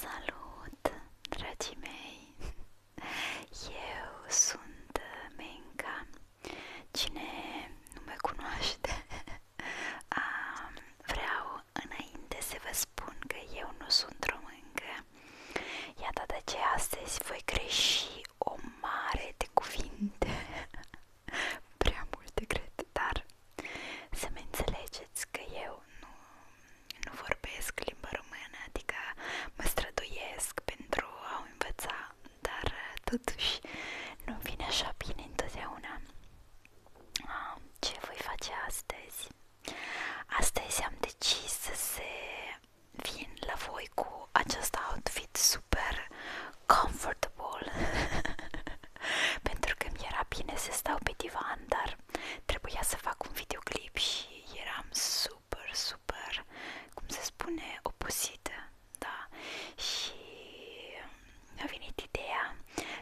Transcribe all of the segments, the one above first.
Salut, dragii mei! Eu sunt Menca. Cine nu mă cunoaște, vreau înainte să vă spun că eu nu sunt româncă. Iată de ce astăzi voi greși o mare de cuvinte prea multe, cred, dar să mă înțelegeți că eu nu, nu vorbesc limba română, adică mă străduiesc pentru a o învăța, dar totuși nu vine așa bine întotdeauna. Ce voi face astăzi? Astăzi am decis să vin la voi cu acest outfit super comfortable pentru că mi era bine să stau pe divan, dar trebuia să fac un videoclip și eram super, super, cum se spune, obosită, da, și a venit ideea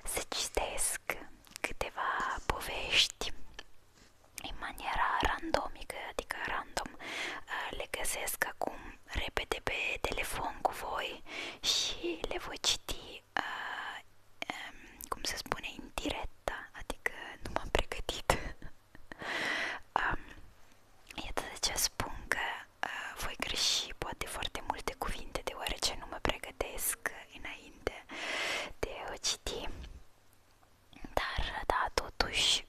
să citesc câteva povești în maniera randomică, adică random, uh, le găsesc acum repede pe telefon cu voi și le voi citi, uh, um, cum se spune, în direct, adică nu m-am pregătit. um, iată de ce spun că uh, voi greși poate foarte multe cuvinte, deoarece nu mă pregătesc înainte de o citi. Dar, da, totuși,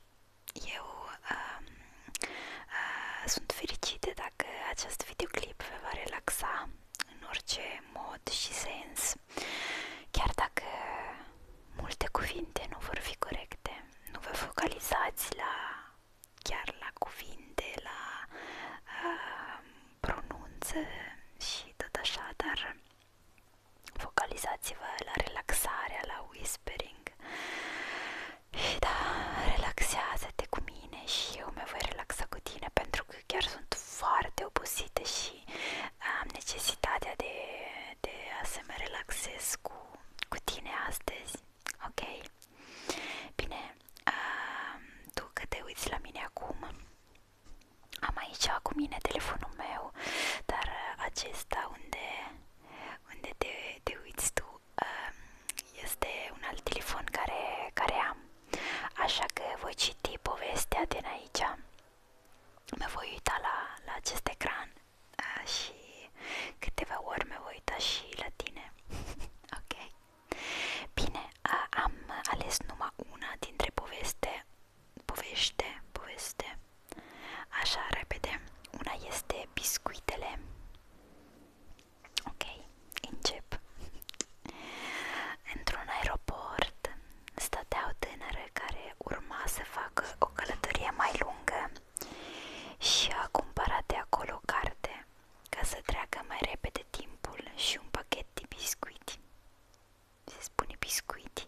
eu uh, uh, sunt fericite dacă acest videoclip vă va relaxa în orice mod și sens, chiar dacă multe cuvinte nu vor fi corecte. Nu vă focalizați la chiar la cuvinte, la uh, ah, pronunță și tot așa, dar focalizați-vă la relaxarea, la whispering da, relaxează-te cu mine și eu mă voi relaxa cu tine pentru că chiar sunt foarte obosită și am necesitatea de, de a să mă relaxez cu, cu tine astăzi. Ok? Bine, uh, tu că te uiți la mine acum, am aici cu mine telefonul meu, dar acesta unde, unde te, te uiți tu este un alt telefon care, care am, așa că voi citi povestea din aici, mă voi uita la, la acest ecran și câteva ori mă voi uita și la tine, ok? Bine, am ales numai una dintre poveste, poveste, poveste, așa repede, una este biscuitele Ok, încep Într-un aeroport stăteau tânăre care urma să facă o călătorie mai lungă și a cumpărat de acolo o carte ca să treacă mai repede timpul și un pachet de biscuiti se spune biscuiti,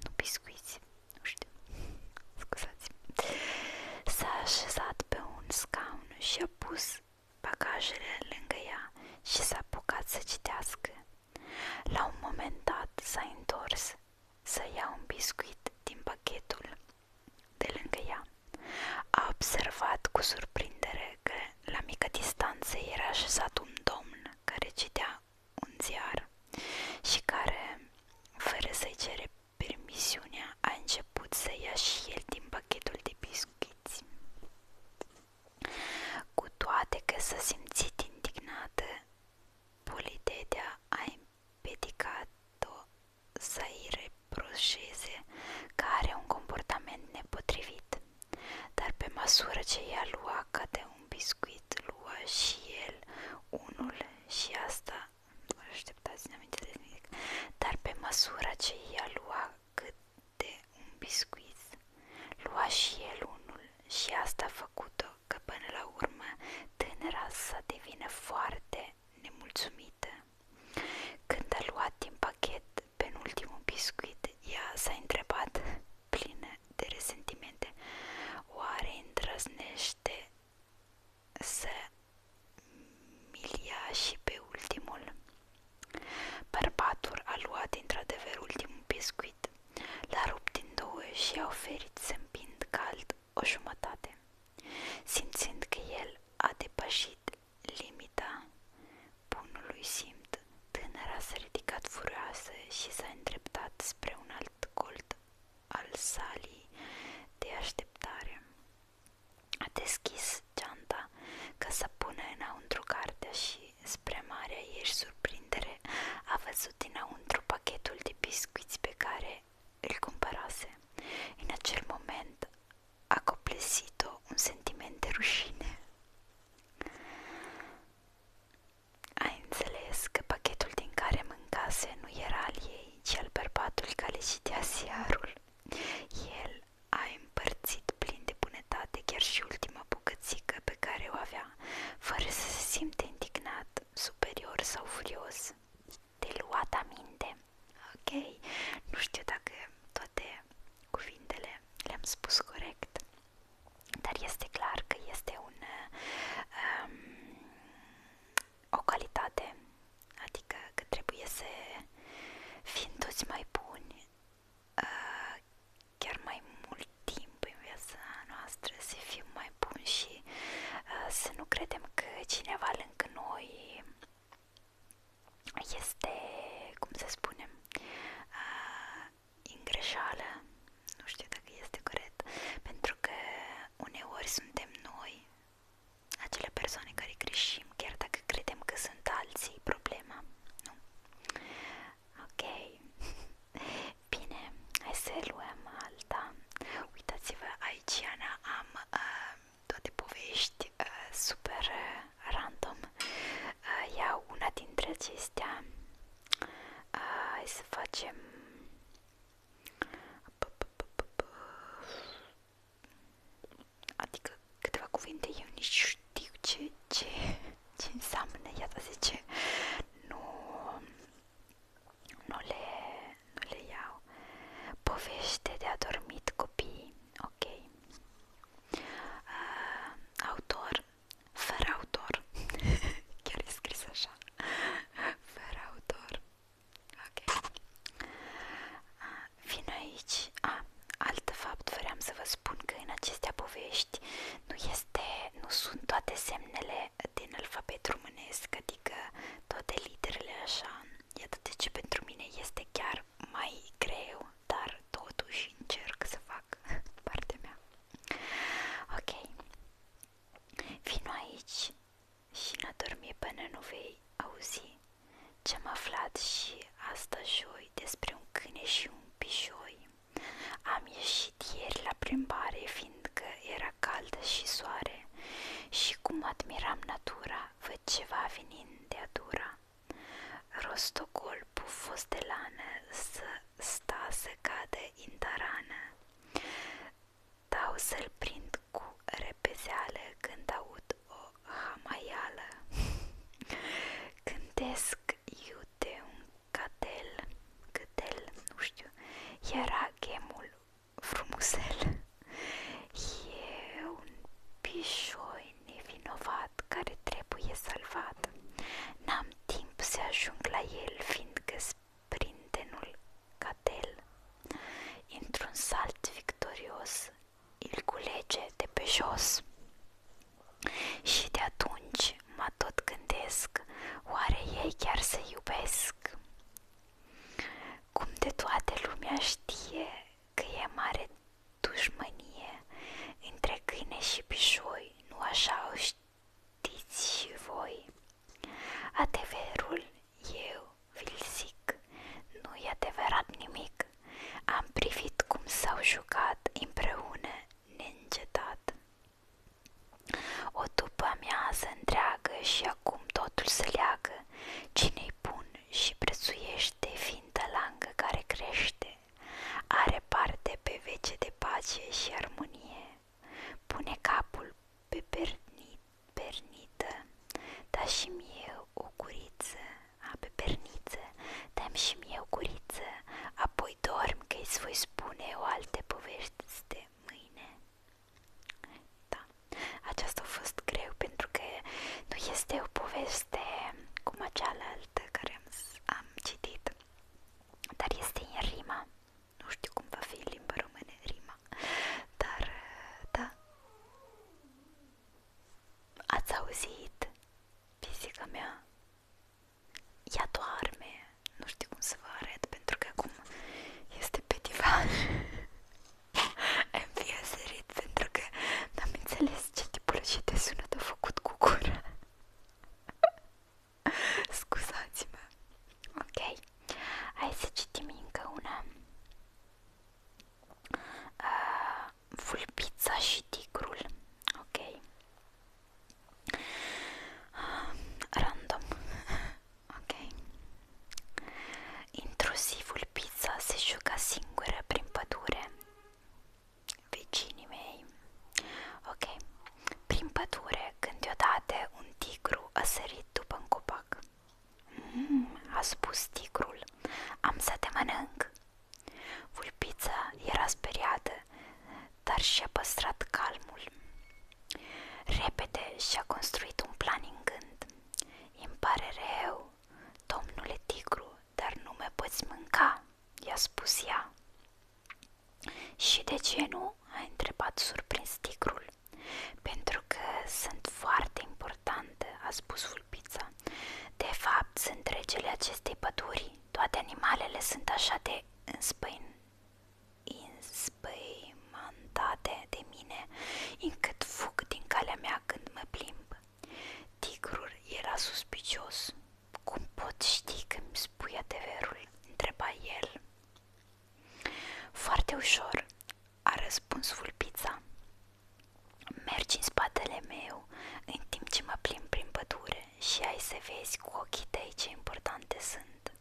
nu biscuiți, nu știu, scuzați S-a așezat pe un scaun și a pus bagajele lângă ea și s-a apucat să citească. La un moment dat s-a întors să ia un biscuit din pachetul de lângă ea. A observat cu surprindere că la mică distanță era așezat un domn care citea un ziar și care, fără să-i cere Permisiunea a început să ia și el din pachetul de biscuiți. Cu toate că s-a simțit indignată, Politetea a împedicat-o să-i reproșeze că are un comportament nepotrivit, dar pe măsură ce ea lua ca de un biscuit, lua și el unul și asta, nu știu așteptați, n-am nimic, dar pe măsura ce ea lua de un biscuit, lua și el unul și asta a făcut-o că până la urmă tânăra să devină foarte nemulțumită. Când a luat din pachet penultimul biscuit, ea s-a întrebat, plină de resentimente, oare îndrăznește să Milia și pe ultimul. Bărbatul a luat într-adevăr ultimul biscuit, l-a rupt din două și a oferit zâmbind cald o jumătate, simțind că el a depășit limita bunului simt. Tânăra s-a ridicat furioasă și s-a îndreptat spre un alt colt al salii de așteptare. A deschis geanta ca să pună înăuntru cartea și, spre marea ei surprindere, a văzut înăuntru pachetul de biscuiți pe care îl cumpărase. În acel moment a coplesit-o un sentiment de rușine. Ai înțeles că pachetul din care mâncase nu era al ei, ci al bărbatului care citease iarul. El ai împărțit plin de bunătate chiar și ultima bucățică pe care o avea, fără să se simte indignat, superior sau furios. Te luat aminte. Ok, nu știu dacă toate cuvintele le-am spus corect, dar este clar că este un, um, o calitate adică că trebuie să fim toți mai buni uh, chiar mai mult timp în viața noastră, să fim mai buni și uh, să nu credem că cineva lângă noi este, cum să spunem, uh, în greșeală, nu știu dacă este corect, pentru că uneori suntem noi acele persoane care greșim, chiar dacă credem că sunt alții problema, nu? Ok, bine, hai să luăm alta. Uitați-vă, aici Ana, am uh, toate povești uh, super uh, random. Uh, iau una dintre acestea. Uh, hai să facem... Adică câteva cuvinte eu nici știu ce, ce, ce înseamnă, iată zice, nu, nu, le, nu le iau. Povește de adormit copii, ok. Uh, autor, fără autor, chiar e scris așa, fără autor, ok. Uh, vin aici. A, alt fapt vreau să vă spun că în acestea povești nu este, nu sunt toate semnele din alfabet românesc, adică toate literele așa. Iată de ce pentru mine este chiar mai greu, dar totuși încerc să fac partea mea. Ok. Vino aici și n-a dormi până nu vei auzi ce-am aflat și asta joi despre un câine și un pișoi. Am ieșit ieri la plimbare, fiindcă era caldă și soare, și cum admiram natura, văd ceva venind de adura. Rostocol pufos de lană, să sta să cadă în tarană. Dau să-l prind cu repezeală când aud o hamaială Cântesc iute un catel, câtel, nu era gemul frumușel E un pișoi nevinovat care trebuie salvat N-am timp să ajung la el, fiindcă sprintenul catel Într-un salt victorios îl culege de pe jos. Și de atunci mă tot gândesc, oare ei chiar se iubesc? Cum de toată lumea știe că e mare dușmănie între câine și pișoi, nu așa o și voi. Adevărul eu vi zic, nu e adevărat nimic. Am privit cum s-au jucat împreună neîncetat. O după amiază întreagă și acum totul se leagă, cine-i bun și prețuiește fiintă langă care crește, are parte pe vece de pace și armonie, pune capul pe pernit, pernită, dar și eu o curiță, ape perniță, dăm și mie o curiță, apoi dorm că îți voi spune o altă poveste mâine. Da, aceasta a fost greu pentru că nu este o poveste cum cealaltă care am citit, dar este în rima. Nu știu cum va fi în limba română rima, dar da, Ați auzit? Fizica mea ea doarme. Nu știu cum să vă arăt pentru că acum este pe divan. Am sărit pentru că n-am înțeles ce tipologie de sunet a făcut cu gura. Scuzați-mă. Ok. Hai să citim încă una. Uh, vulpița și tigrul. Ok. Random. Ok. Intrusivul pizza se juca singură prin pădure. Vecinii mei. Ok. Prin pădure, când deodată un tigru a sărit după un copac. Mm, a spus tigrul. Am să te mănânc. Vulpița era speriată, dar și-a păstrat calmul. Repede și-a construit un plan în gând. Îmi pare rău, domnule tigru, dar nu mă poți mânca, i-a spus ea. Și de ce nu? a întrebat surprins tigrul. Pentru că sunt foarte importantă, a spus vulpița. De fapt, sunt regele acestei păduri. Toate animalele sunt așa de înspăin... înspăimantate de mine, încât fug din calea mea când mă plimb. Tigrul era suspicios. Cum pot ști că îmi spui adevărul? întreba el. Foarte ușor, a răspuns vulpița. Mergi în spatele meu în timp ce mă plimb prin pădure și ai să vezi cu ochii tăi ce importante sunt.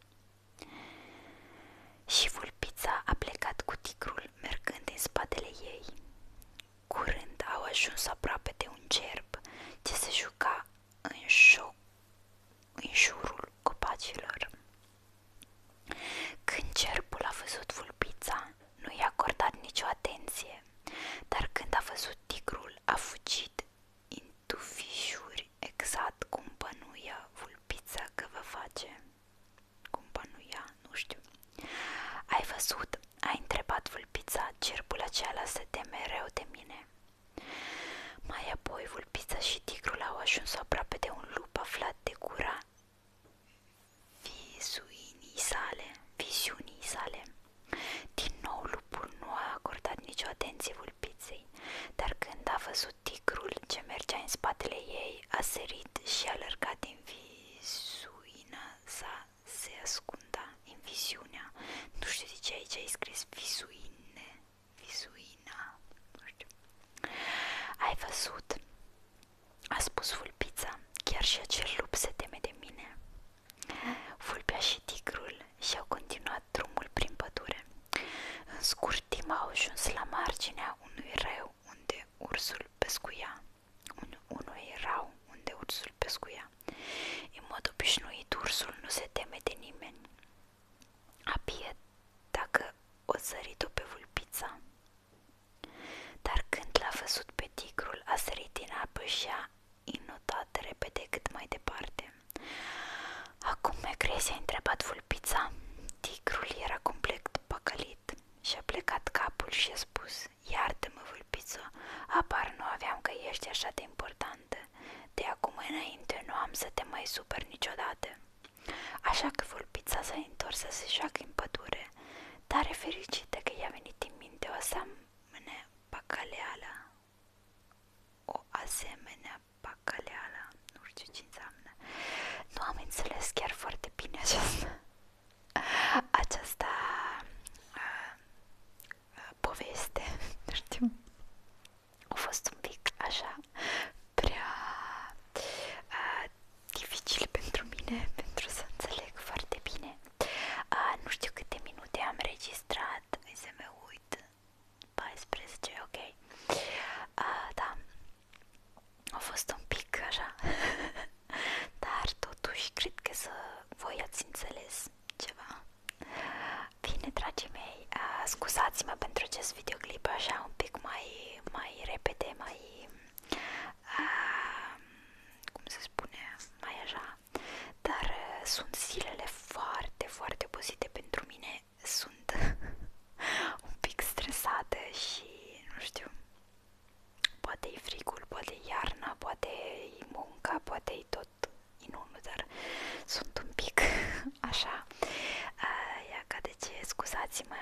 Și vulpița a plecat cu tigrul mergând în spatele ei. Curând au ajuns aproape de un cerb ce se juca în, șoc, în jurul copacilor. Când cerbul a văzut vulpița, Ana nu i-a acordat nicio atenție, dar când a văzut tigrul, a fugit în tufișuri, exact cum bănuia vulpița că vă face. Cum bănuia, nu știu. Ai văzut? A întrebat vulpița, cerbul acela se teme mereu de mine. Mai apoi vulpița și tigrul au ajuns aproape de un lup aflat de gura visuinii sale, viziunii sale. Din nou lupul nu a acordat nicio atenție vulpiței, dar când a văzut tigrul ce mergea în spatele ei, a sărit și a lărgat din visuina sa se ascunda în viziunea. Nu știu de ce aici ai scris visuine, visuina, nu știu. Ai văzut? A spus vulpița, chiar și acel lup se teme de mine. Vulpea și tigrul și-au continuat drumul prin pădure. În scurt timp au ajuns la marginea unui râu unde ursul pescuia. Un, unui rau unde ursul pescuia. În mod obișnuit, ursul nu se teme de nimeni. Abie dacă o sărit-o pe vulpița. Dar când l-a văzut pe tigrul, a sărit apă și a inotat repede cât mai departe. Acum Megres a întrebat vulpița. Tigrul era complet păcălit și a plecat capul și a spus Iartă-mă, vulpiță, apar nu aveam că ești așa de importantă. De acum înainte nu am să te mai super niciodată. Așa că vulpița s-a întors să se joacă în pădure, dar e fericită că i-a venit în minte o seamă rămâne păcăleala, o asemenea păcăleala, nu știu ce înseamnă. Nu am înțeles chiar foarte bine aceasta, aceasta uh, uh, poveste, nu știu. A fost un pic așa prea uh, dificil pentru mine, pentru să înțeleg foarte bine. Uh, nu știu câte minute am registrat, hai să mă uit, 14, ok. Uh, da, a fost un pic așa, dar totuși cred că să voi ați înțeles ceva. Bine, dragii mei, uh, scuzați-mă pentru acest videoclip așa un pic mai, mai repede, mai... Uh, cum se spune, mai așa dar uh, sunt zilele foarte, foarte obosite pentru mine, sunt un pic stresată și nu știu, poate e frigul, poate iarna, poate e poate e tot inunul, dar sunt un pic așa, uh, ia ca scuzați-mă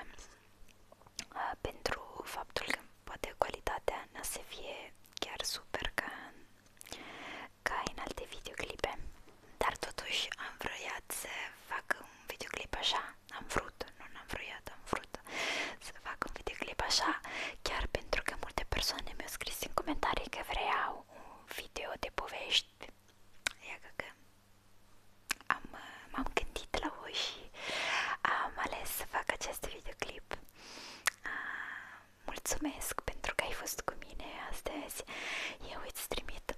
uh, pentru faptul că poate calitatea nu se fie chiar super ca în, ca în alte videoclipe dar totuși am vroiat să fac un videoclip așa am vrut, nu n-am vroiat, am vrut să fac un videoclip așa chiar pentru că multe persoane mi-au scris în comentarii că vreau un video de povești Ia că am, m-am gândit la voi și am ales să fac acest videoclip Mulțumesc pentru că ai fost cu mine astăzi. Eu îți trimit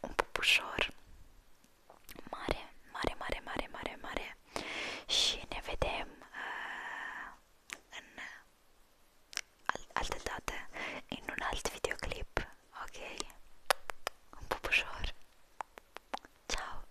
un pupușor mare, mare, mare, mare, mare, mare și ne vedem uh, în al altă dată, în un alt videoclip, ok? Un pupușor. Ciao!